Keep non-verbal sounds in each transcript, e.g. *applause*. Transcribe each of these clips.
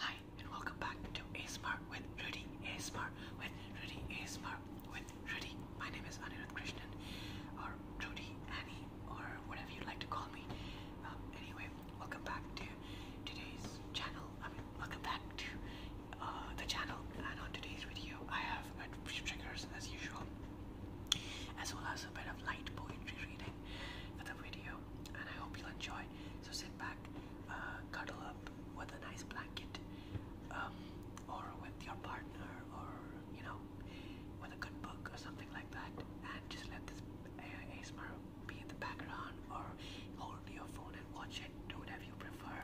Hi and welcome back to ASMR with Rudy ASMR with Rudy ASMR with Rudy. My name is Anirudh Krishnan or Rudy Annie or whatever you would like to call me. Um, anyway, welcome back to today's channel. I mean, welcome back to uh, the channel. And on today's video, I have a few triggers as usual, as well as a bit of light poetry reading for the video. And I hope you'll enjoy. So sit back, uh, cuddle up with a nice blanket, um, or with your partner, or you know, with a good book or something like that, and just let this ASMR be in the background, or hold your phone and watch it. Do whatever you prefer.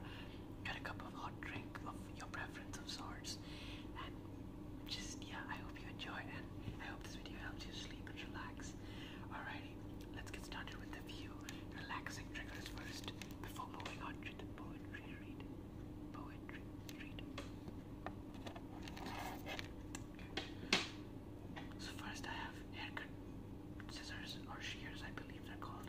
Get a cup of hot drink of your preference of sorts, and just yeah, I hope you enjoy, and I hope this video helps you sleep and relax. Alrighty, let's get started with the few relaxing triggers first before moving on to the poetry read. Poetry read. So first I have haircut scissors or shears, I believe they're called.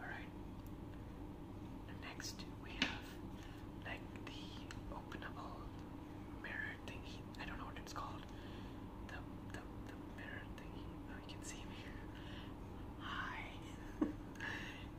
All right. Next, we have like the openable mirror thingy. I don't know what it's called. The the, the mirror thingy. Oh, you can see me. Hi. *laughs*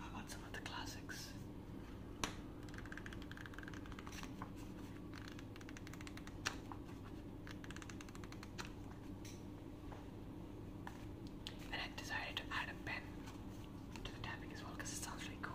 I want some of the classics? I decided to add a pen to the tapping as well because it sounds really cool.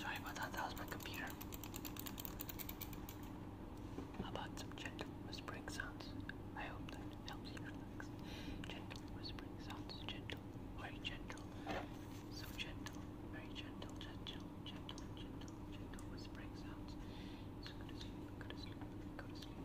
Sorry about that, that was my computer. about some gentle whispering sounds? I hope that helps you relax. Gentle whispering sounds, gentle, very gentle. So gentle, very gentle, gentle, gentle, gentle, gentle whispering sounds. go to sleep, go to sleep, go to sleep.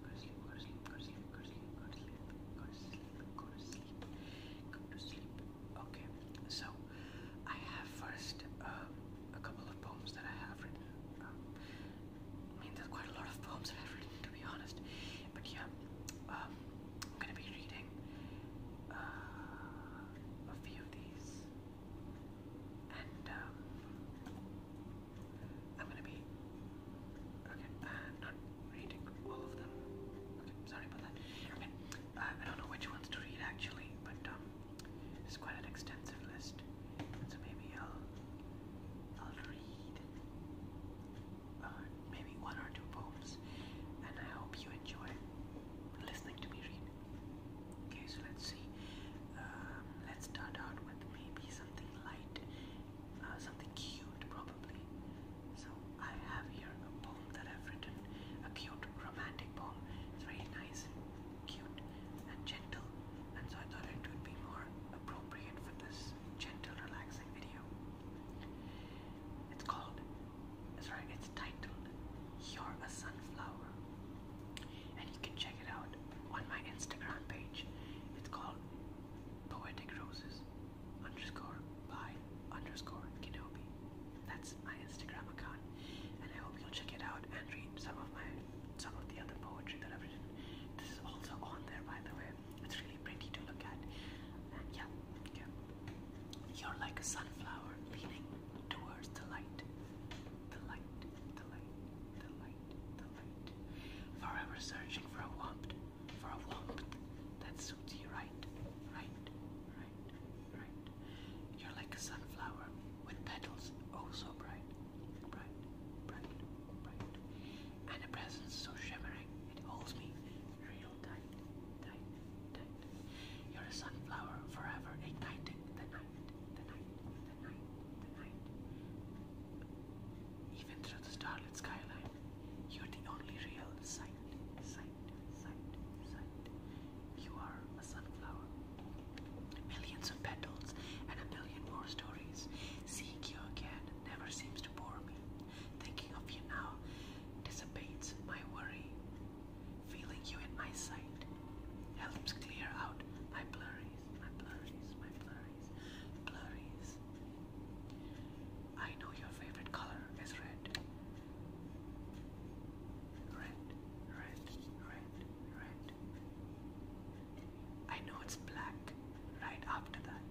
go to sleep. Okay, so I have first um, a couple of poems that I have written. Um, I mean, there's quite a lot of poems that I've written, to be honest. But yeah, um, I'm gonna be reading uh, a few of these, and I'm gonna be okay. Uh, not reading all of them. sorry about that. I uh, I don't know which ones to read actually, but um, it's quite an extensive list, so maybe I'll I'll read uh, maybe one or two poems, and I hope you enjoy listening to me read. Okay, so let's see. Um, let's start out with maybe something light, uh, something cute probably. So I have here a poem that I've written, a cute romantic poem. It's very nice cute and gentle, and so I thought it would be more appropriate for this gentle, relaxing video. It's called, sorry, it's titled, You're a Sunflower and you can check it out on my Instagram page. It's called Poetic Roses underscore by underscore Kenobi. That's my Instagram account, and I hope you'll check it out and read some of my some of the other poetry that I've written. This is also on there, by the way. It's really pretty to look at. And yeah, yeah. You're like a sunflower leaning towards The light, the light, the light. Forever searching for a warmth, for a warmth that suits you right, right, right, right. You're like a sunflower with petals oh so bright, bright, bright, bright. And a presence so shimmering, it holds me real tight, tight, tight. You're a sunflower forever igniting the night, the night, even through the starlit skyline, you're the only real sight, sight, sight, sight. You are a sunflower. Millions of petals and a billion more stories. Seeing you again never seems to bore me. Thinking of you now dissipates my worry feeling you in my sight helps clear out my blurries, my blurries, my blurries, blurries. I know your favorite color is red. Red, red, red, I know it's black right after that.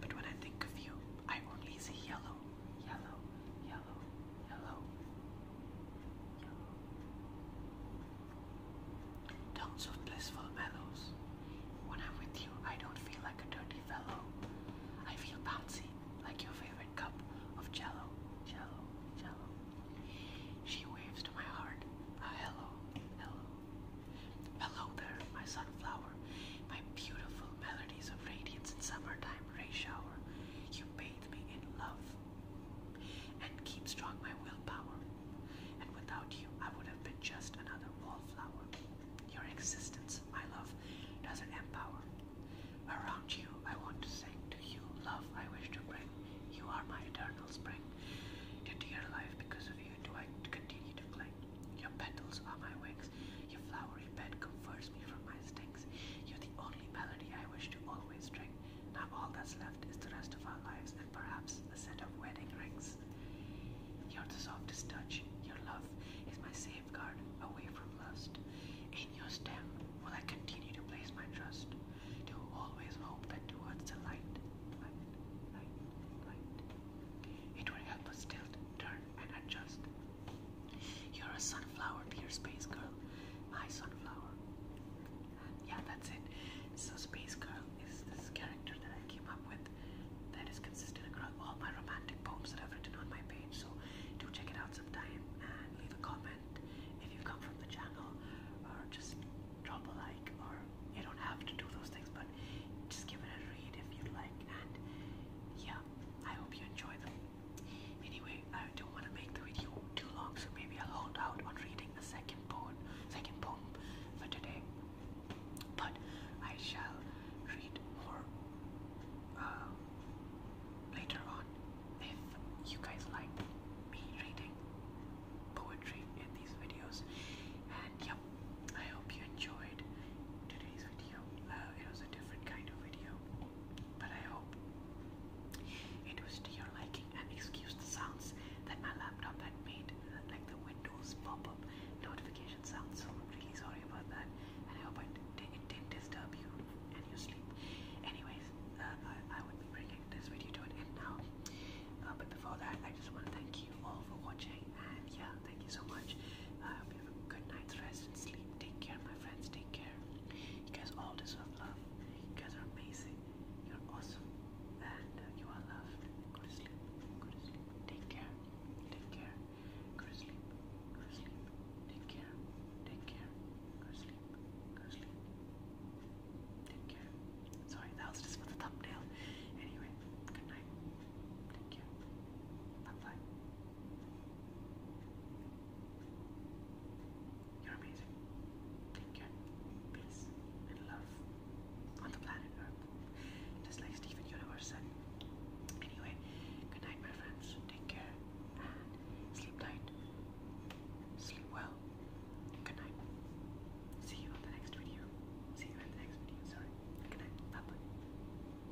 But when I think of you, I only see yellow, yellow, yellow, yellow, yellow, blissful mellows. When I'm with you, I don't feel like a dirty fellow. I feel bouncy, like your favorite cup of jello, jello, jello. She waves to my heart hello, hello. Hello there, my sunflower, my beautiful melodies of radiance in summertime ray shower. You bathe me in love, and keep strong my willpower. And without you, I would have been just another wallflower. Your existence, my love, doesn't empower. Around you, I want to sing. To you, love, I wish to bring. You are my eternal spring. To dear life, because of you, do I continue to cling. Your petals are my wings. Your flowery bed converts me from my stings. You're the only melody I wish to always. Now all that's left is the rest of our lives and perhaps a set of wedding rings. you softest touch. Your love is my safeguard away from lust. In your stem will I continue to place my trust, to always hope that towards the light, light, light, light, it will help us tilt, turn, and adjust. You're a sunflower, dear Space Girl. My sunflower. Yeah, that's it. So Space Girl is this character that I came up with that is consistent across all my romantic poems that I've written on my page. So do check it out sometime and leave a comment if you come from the channel or just drop a like or you don't have to do those things but just give it a read if you'd like and yeah, I hope you enjoy them. Anyway, I don't want to make the video too long, so maybe I'll hold out on reading the second poem, second poem for today. But I shall read more um, later on if you guys like me reading poetry in these videos. And yep, I hope you enjoyed today's video. Uh, it was a different kind of video, but I hope it was to your liking and excuse the sounds that my laptop had made, like the Windows pop-up notification sounds. So really sorry about that, and I hope it didn't disturb you and your sleep. Anyways, uh, I, would be bringing this video to an end now. Uh, but before that, I just want to thank you all for watching, and yeah, thank you so much. I hope you have good night's rest and sleep. Take care, my friends. Take care there. You guys all deserve love. You guys are amazing. You're awesome. And uh, you are loved. Go to sleep. Go to sleep. Take care. Take care. Go to sleep. Go to sleep. Take care. Take care. Go to sleep. Go to sleep. Take care. Sorry, that was just for the thumbnail. Anyway, good night. Take care. Bye bye. You're amazing. Take care. Peace and love on the planet Earth. Just like Stephen Universe said. Anyway, good night, my friends. Take care and sleep tight. Sleep well. Good night. See you on the next video. See you in the next video. Sorry. Good night. bye.